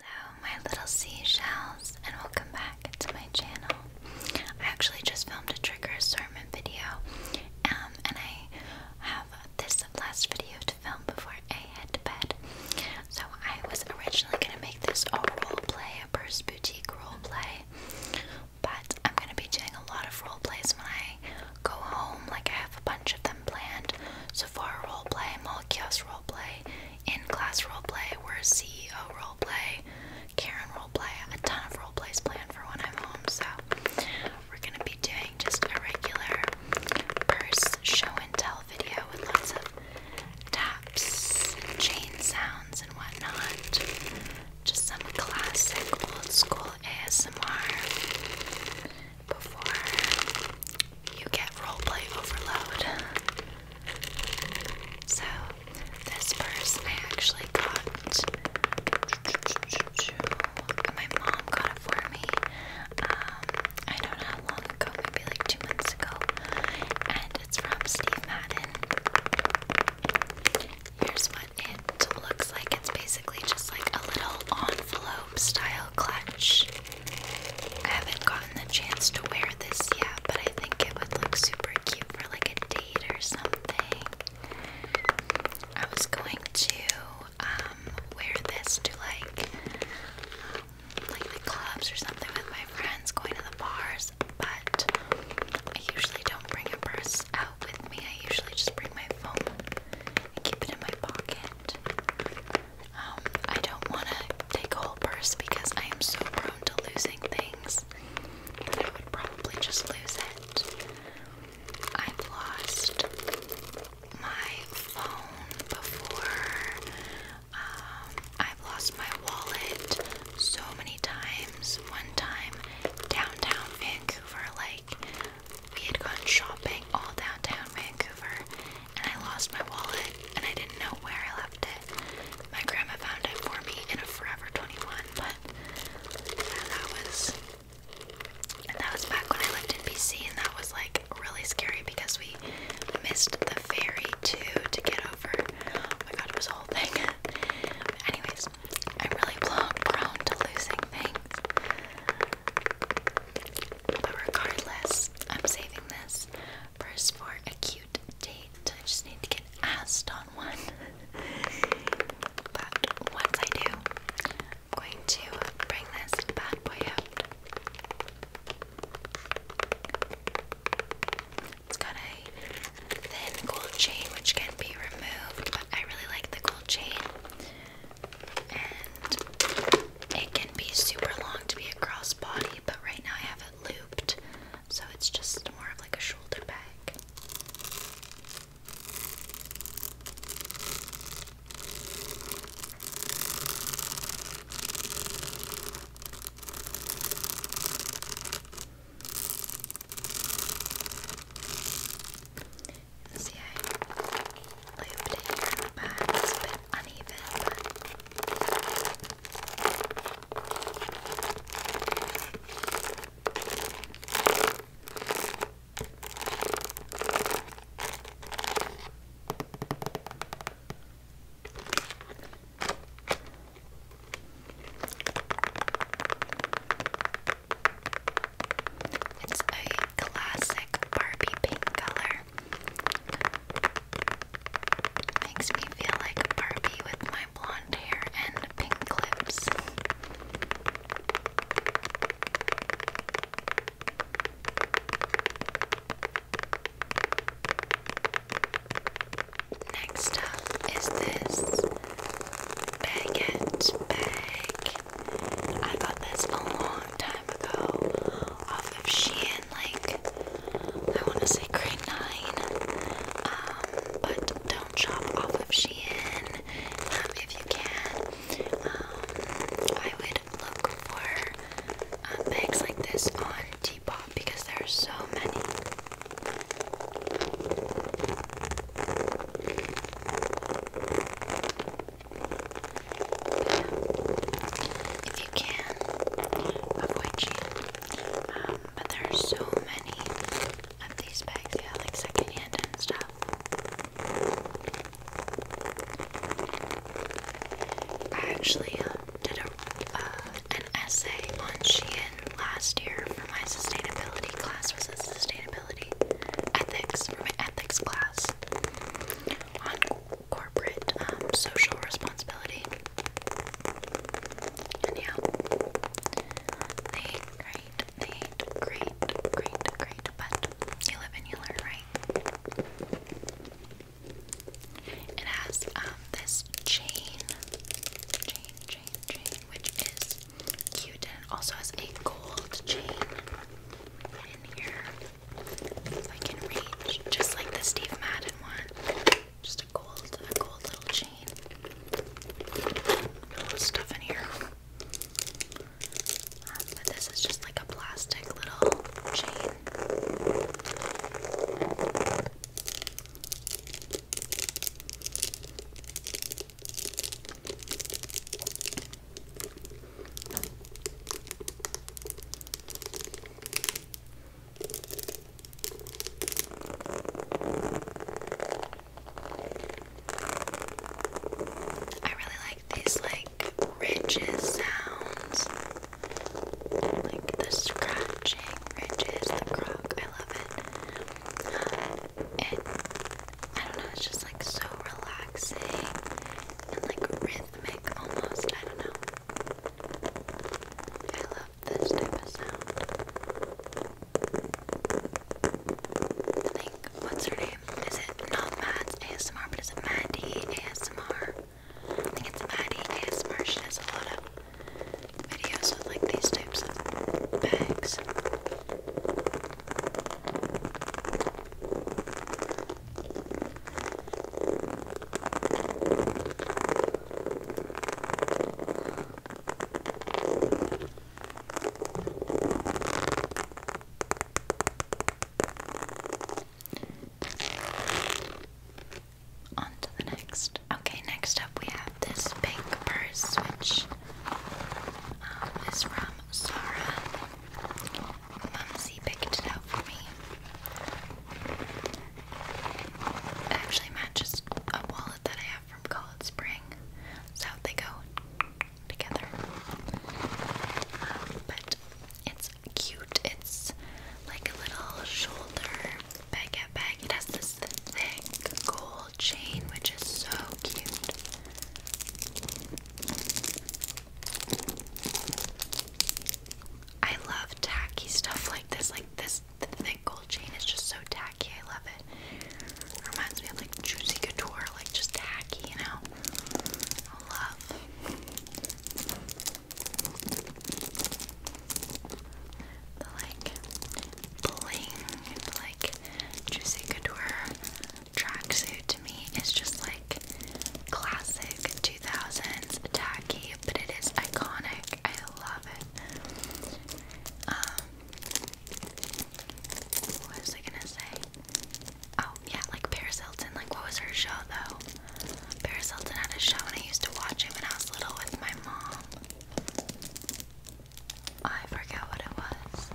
Hello, my little seashells, and welcome back to my channel. I actually just filmed a trigger assortment video, um, and I have this last video to film before I head to bed. So I was originally gonna make this a role play, a Purse Boutique role play, but I'm gonna be doing a lot of role plays when I go home. Like I have a bunch of them planned. So for a role play, Molokio's role play in class roleplay, we're a CEO roleplay, Karen roleplay, a ton of roleplays planned for when I'm home. So we're gonna be doing just a regular purse show and tell video with lots of taps and chain sounds and whatnot. Just some classic old school ASMR before you get roleplay overload. So, this purse I actually got. My mom got it for me. Um, I don't long ago, maybe like two months ago. And it's from Steve Madden. Here's what it looks like. It's basically just like a little envelope style clutch. I haven't gotten the chance to wear this yet, but I think it would look super cute for like a date or something. I was going to um, wear this to like um, like the clubs or something with my friends, going to the bars, but I usually don't bring a purse out with me. I usually just bring my phone and keep it in my pocket. Um, I don't want to take a whole purse because I am so prone to losing things that I would probably just lose it. I've lost my phone before. Um, I've lost my wallet so many times. One time, downtown Vancouver, like we had gone shopping all downtown Vancouver, and I lost my wallet and I didn't know where I left it. My grandma found it for me in a Forever 21, but that was that was back when I lived in BC and that was like really scary because we missed the ferry too to get over. Oh my god, it was a whole thing. Anyways, I'm really prone to losing things. But regardless, I'm saving this First for a cute date. I just need to get asked on one. but once I do, I'm going to bring this bad boy out. It's got a thin gold chain which can be removed, I really like the gold chain. It can be super long to be a crossbody, but right now I have it looped, so it's just more of like a shoulder bag. See, I looped it here bit uneven, but classic Barbie pink color. Makes me feel like Barbie with my blonde hair and pink lips. Next up is this baguette bag. I got this a time ago off of Shein, like I want to say grade nine. Um, but don't shop off of Shein um, if you can. Um, I would look for um, bags like this on Depop because there are so many if you can, avoid cheap. Um, but there are so many of these bags, yeah, like secondhand and stuff. I actually um, did a, uh, an essay on Shein last year for my sustainability class. Was it sustainability ethics for my ethics class on corporate um, social responsibility. And yeah, they great, they great, great, great, but you live and you learn, right? It has um, this chain, chain, chain, chain, which is cute, and also has a gold chain in here. I can reach, just like the Steve Madden one, just a gold, gold little chain. little stuff in here, um, but this is just like a plastic little chain. I really like these like ridges sounds. Like the scratching ridges, the croc. I love it. Uh, it I don't know, it's just like so relaxing and like rhythmic rhythmic almost, I don't know. I love this type of sound. think, what's her name? Is it not Mads ASMR, but is it Maddie ASMR? I think it's Maddie ASMR. She does a lot of videos with like these types of bags. On to the next. Okay, next up we have this pink purse, which um, is from Zara. Mumsy picked it out for me. actually matches a wallet that I have from College Spring. So they go together. Um, but it's cute. It's like a little shoulder baguette bag. It has this thick gold chain, which is so cute. I love tacky stuff like this. Like this thick gold chain is just so tacky. I love it. Reminds me of like Juicy Couture, like just tacky, you know. love. The like bling, the like Juicy Couture tracksuit to me is just like classic 2000s tacky, but it is iconic. I love it. Um, what was I gonna say? Oh, yeah, like Paris Hilton. Like, what was her show though? Paris Hilton had a show, and I used to watch him when I was little with my mom. I forget what it was.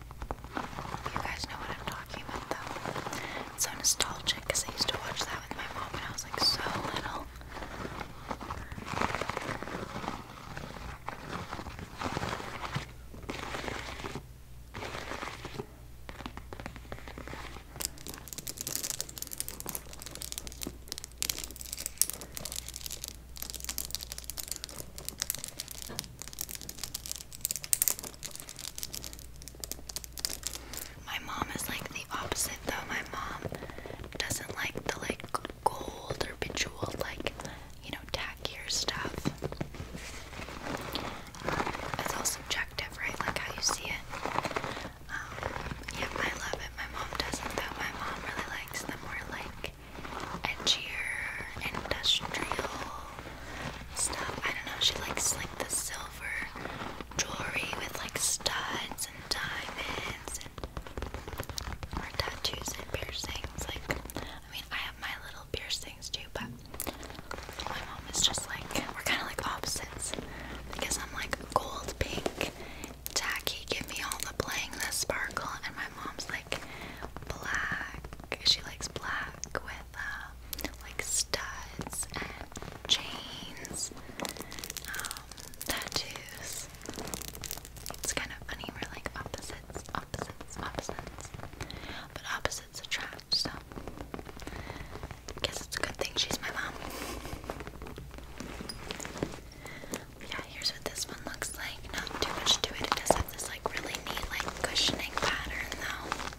You guys know what I'm talking about though. It's so nostalgic because I used to watch that with my mom when I was like so little. My mom is like the opposite though. My mom doesn't like the like gold or bejeweled like you know tackier stuff. Um, it's all subjective, right? Like how you see it. Um, I love it. My mom doesn't though. My mom really likes the more like edgier, industrial stuff. I don't know, she likes like the silver jewelry with like studs and diamonds and or tattoos and piercings. Like I mean I have my little piercings too, but my mom is just like we're kinda like opposites. Because I'm like gold pink, tacky, give me all the bling, the sparkle, and my mom's like black. She likes black with uh, like studs and chains, um, tattoos. It's kind of funny, we're like opposites, opposites, opposites. But opposites attract, so guess it's a good thing she's my mom. Yeah, here's what this one looks like. Not too much to it. It does have this like really neat like cushioning pattern though.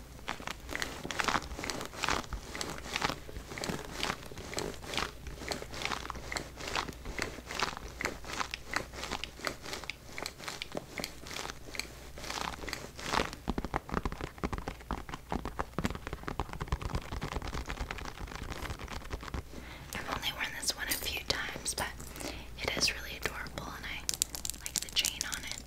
I've only worn this one a few times, but it is really adorable and I like the chain on it.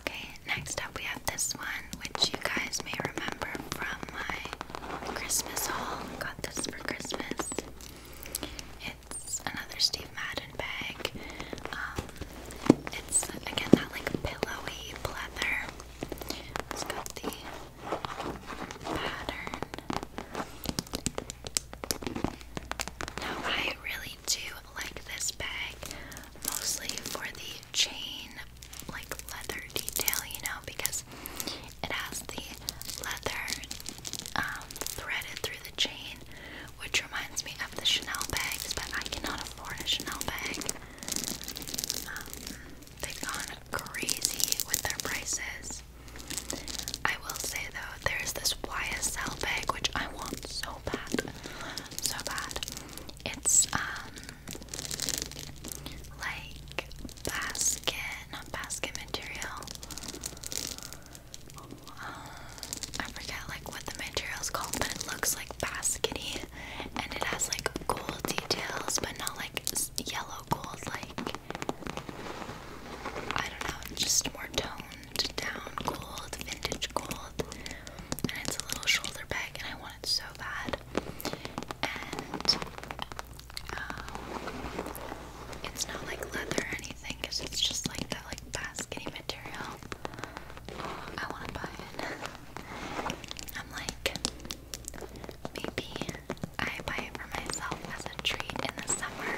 Okay, next up we have this one, which you guys may remember from my Christmas haul. Got this for Christmas. It's another Steve Madden bag. Um, it's again that like pillowy pleather. It's got the pattern. Now I really to like this bag mostly for the chain, like leather detail, you know, because it has the leather um, threaded through the chain, which reminds me of the Chanel bags, but I cannot afford a Chanel bag. Um, they've gone crazy with their prices. I will say though, there's this YSL bag which I want so bad, so bad. It's um like basket, not basket material. Um, I forget like what the material's called, but it looks like baskety, and it has like gold details, but not like yellow gold. Like I don't know, just more tone down gold, vintage gold, and it's a little shoulder bag, and I want it so bad. And um, it's not like leather or anything, cause it's just like that like baskety material. I want to buy it. I'm like, maybe I buy it for myself as a treat in the summer.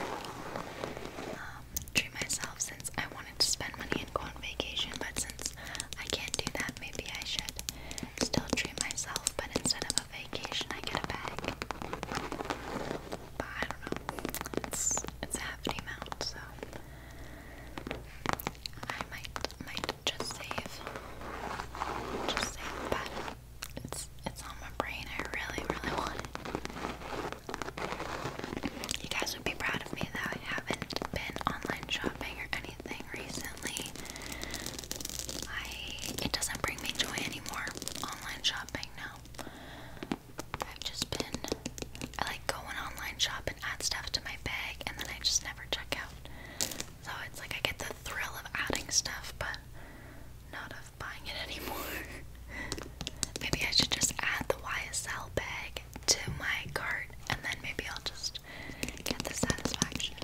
Um, um, treat myself since I wanted to spend money and go on vacation, but since I can't do that, maybe I should still treat myself, but instead of a vacation, I get a bag. But I don't know. It's it's a hefty amount, so I might might just save. Just save, but it's it's on my brain. I really, really want it. You guys would be proud of me that I haven't been online shopping or anything recently. I it doesn't bring me joy anymore. Online shopping now. I've just been like going online shop and add stuff to my bag and then I just never check out. So it's like I get the thrill of adding stuff but not of buying it anymore. maybe I should just add the YSL bag to my cart and then maybe I'll just get the satisfaction.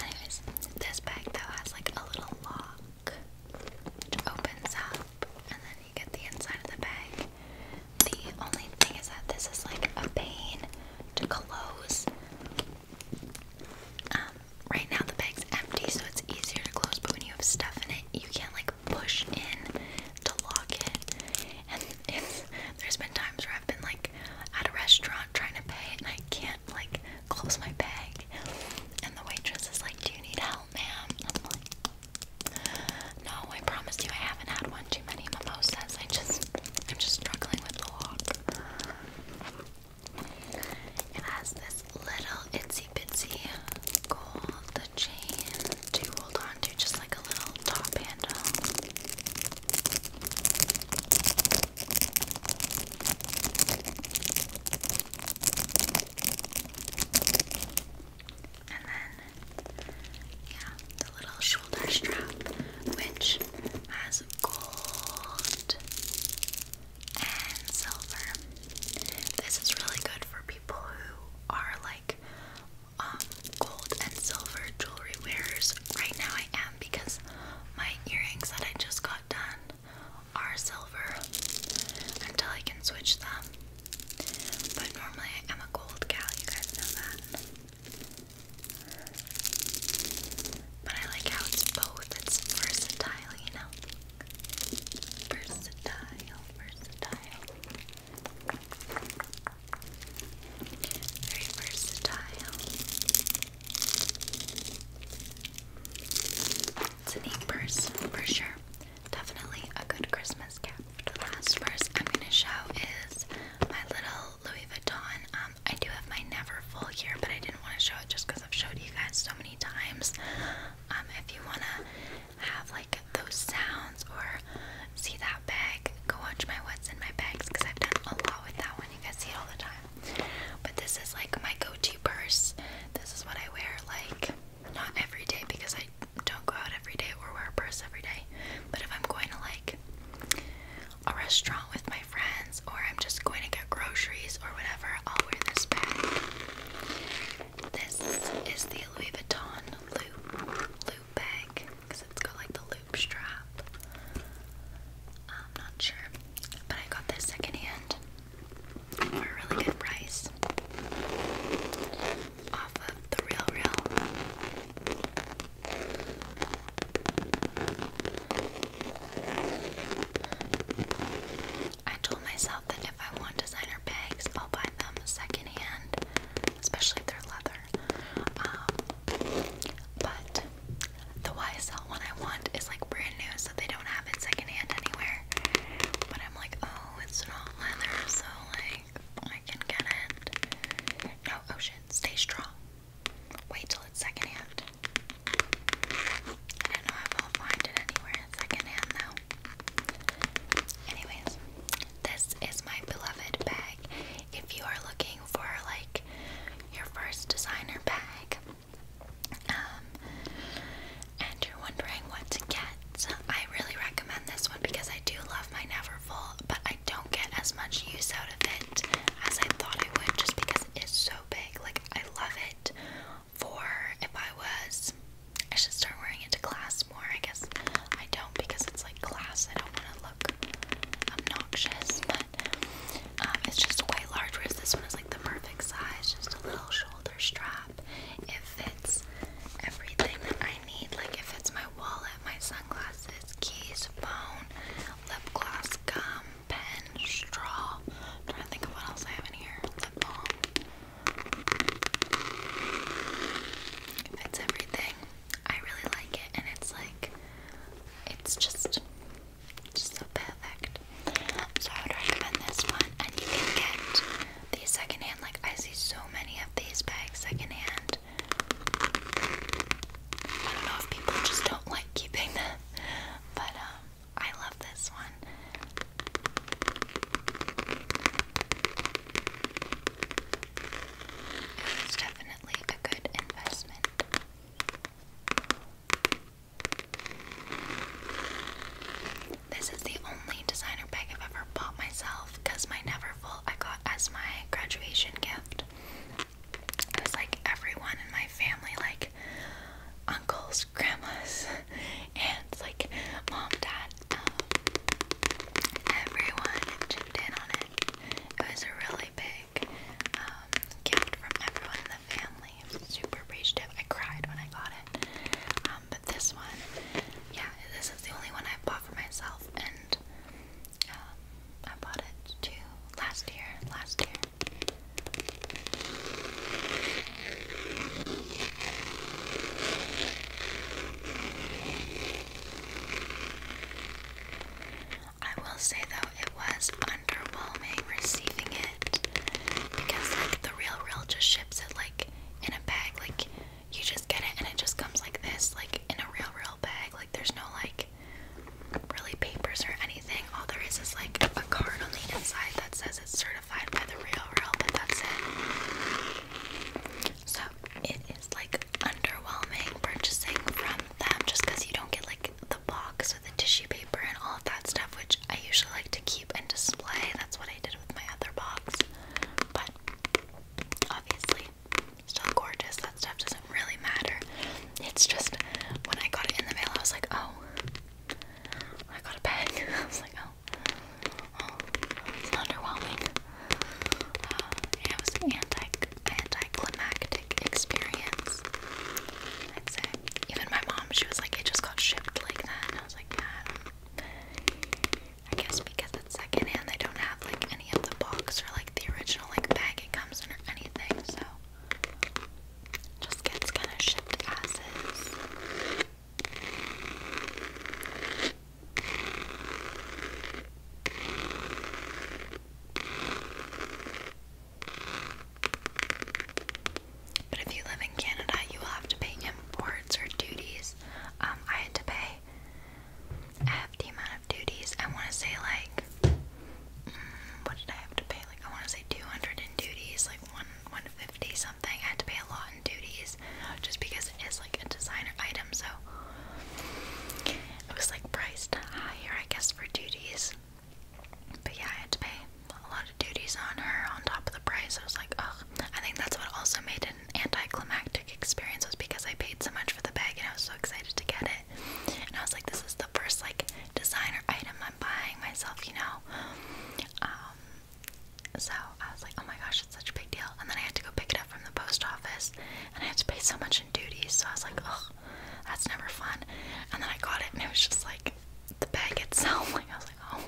Anyways, this bag though has like a little lock which opens up and then you get the inside of the bag. The only thing is that this is like a pain to close. Um, right now the bag's empty, so it's easier to close. But when you have stuff in it, you can't like push in to lock it. And there's been times where I've been like at a restaurant trying to pay, and I can't like close my bag. And the waitress is like, "Do you need help, ma'am?" I'm like, "No, I promise you, I haven't had one too many mimosas. I just, I'm just struggling with the lock." It has this little itsy bitsy gold chain to hold on to, just like a little top handle. And then, yeah, the little shoulder strap, which has gold and silver. This is really good for people who are like um, gold and silver jewelry wearers. Right now I am because my earrings that I just got done are silver until I can switch them. But normally I am a gold gal, you guys know that. But I like how it's both, it's versatile, you Versatile, versatile. Very versatile. It's a neat purse for sure. Definitely a good Christmas gift. The last purse I'm gonna show is my little Louis Vuitton. Um, I do have my never full here, but I didn't want to show it just because I've showed you guys so many times. Um, if you wanna have like those sounds or see that bag, go watch my what's in my bags because I've done a lot with that one. You guys see it all the time. But this is like my go-to purse. This is what I wear like not every day because I don't go out every day or wear a purse every day. But if I'm going to like a restaurant with my friends or I'm just going to get groceries or whatever, I'll wear this bag. This is the Louis Vuitton loop loop bag because it's got like the loop strap. I'm not sure, but I got this secondhand for a really good price off of the Real Real. I told myself that if I want designer bags, I'll buy them secondhand, especially if they're leather. Um, but the YSL one I want is like brand new, so they don't have it secondhand anywhere. But I'm like, oh, it's not leather, so like I can get it. No, oh shit, stay strong. Wait till it's secondhand. I know I'll find it anywhere secondhand though. Anyways, this is my beloved bag. If you are looking for like your first designer bag, um, and you're wondering what to get, I really recommend this one because I do love my Neverfull, but I don't get as much use out of it as I thought I would just because it is so big. Like I love it for if I was, I should start wearing it to class more. I guess I don't because it's like class. I don't want to look obnoxious, but um, it's just quite large. Whereas this one is like the perfect size, just a little shoulder strap. It fits everything that I need. Like it fits my wallet, my sunglasses, keys, phone, lip gloss, gum, pen, straw. trying to think of what else I have in here. It fits everything. I really like it, and it's like, it's just, just so perfect. So I would recommend this one, and you can get these secondhand. Like I see so many of these bags secondhand. I don't know if people just don't like keeping them, but um, I love this one. It's definitely a good investment. This is the only designer bag I've ever bought myself because my Neverfull I got as my graduation gift. It was like everyone in my family, like uncles, grandmas, and like mom, dad, um, everyone chipped in on it. It was a really big um, gift from everyone in the family. I was super appreciative. I cried when I got it. Um, but this one, yeah, this is the only one I bought for myself, and um, I bought it too last year. Last year, I will say though, it was underwhelming receiving it because, the Real Real just ships it, like, in a bag. Like, you just get it and it just comes like this, like, in a Real Real bag. Like, there's no, like, really papers or anything anything. All there is is like a card on the inside that says it's certified by the real real, but that's it. So it is like underwhelming purchasing from them just because you don't get like the box with the tissue paper and all of that stuff, which I usually like to keep and display. That's what I did with my other box. But obviously, still gorgeous. That stuff doesn't really matter. It's just when I got it in the mail, I was like, oh, I got a bag. I was like, oh, oh it's underwhelming. Uh, it was an anti anticlimactic experience. I'd say. Even my mom, she was like, it just got shipped like that. I was like, yeah, I guess because it's secondhand, they don't have like any of the box or like the original like bag it comes in or anything. So just gets kind of shipped as is. But if you live in Canada, you will have to pay imports or duties. Um, I had to pay a hefty amount of duties. I want to say, like, mm, what did I have to pay? Like, I want to say 200 in duties, like one one fifty something. I had to pay a lot in duties just because it is like a designer item, so it was like priced higher, I guess, for duties. But yeah, I had to pay a lot of duties on her on top of the price. I was like, ugh. I think that's what also made it an anticlimactic experience was because I paid so much for the bag and I was so excited to get it. And I was like, this is the first like designer item I'm buying myself, you know. Um, so I was like, oh my gosh, it's such a big deal. And then I had to go pick it up from the post office, and I had to pay so much in duties. So I was like, oh, that's never fun. And then I got it, and it was just like the bag itself. Like I was like, oh.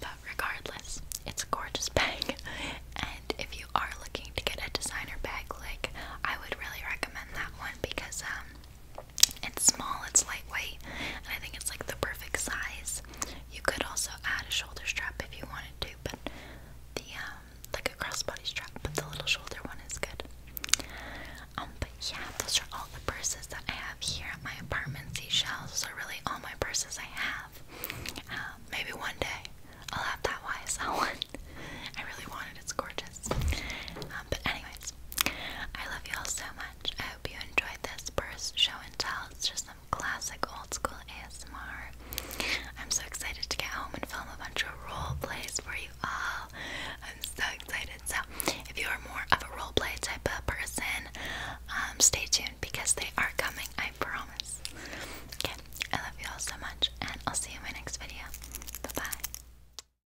But regardless, it's a gorgeous bag, and if you are looking to get a designer bag, like I would really recommend that one because um, it's small, it's lightweight, and I think it's like the perfect size. You could also add a shoulder strap if you wanted to, but the um, like a crossbody strap, but the little shoulder one is good. Um, but yeah, those are all the purses that I have here at my apartment. Seashells those are really all my purses I have. Uh, maybe one day I'll have that YSL one. I really wanted it. It's gorgeous. Um, but anyways, I love you all so much. I hope you enjoyed this first show and tell. It's just some classic old school ASMR. I'm so excited to get home and film a bunch of role plays for you all. I'm so excited. So if you are more of a role play type of person, um, stay tuned because they are coming. I promise. Okay, I love you all so much, and I'll see you in my next video. Bye bye.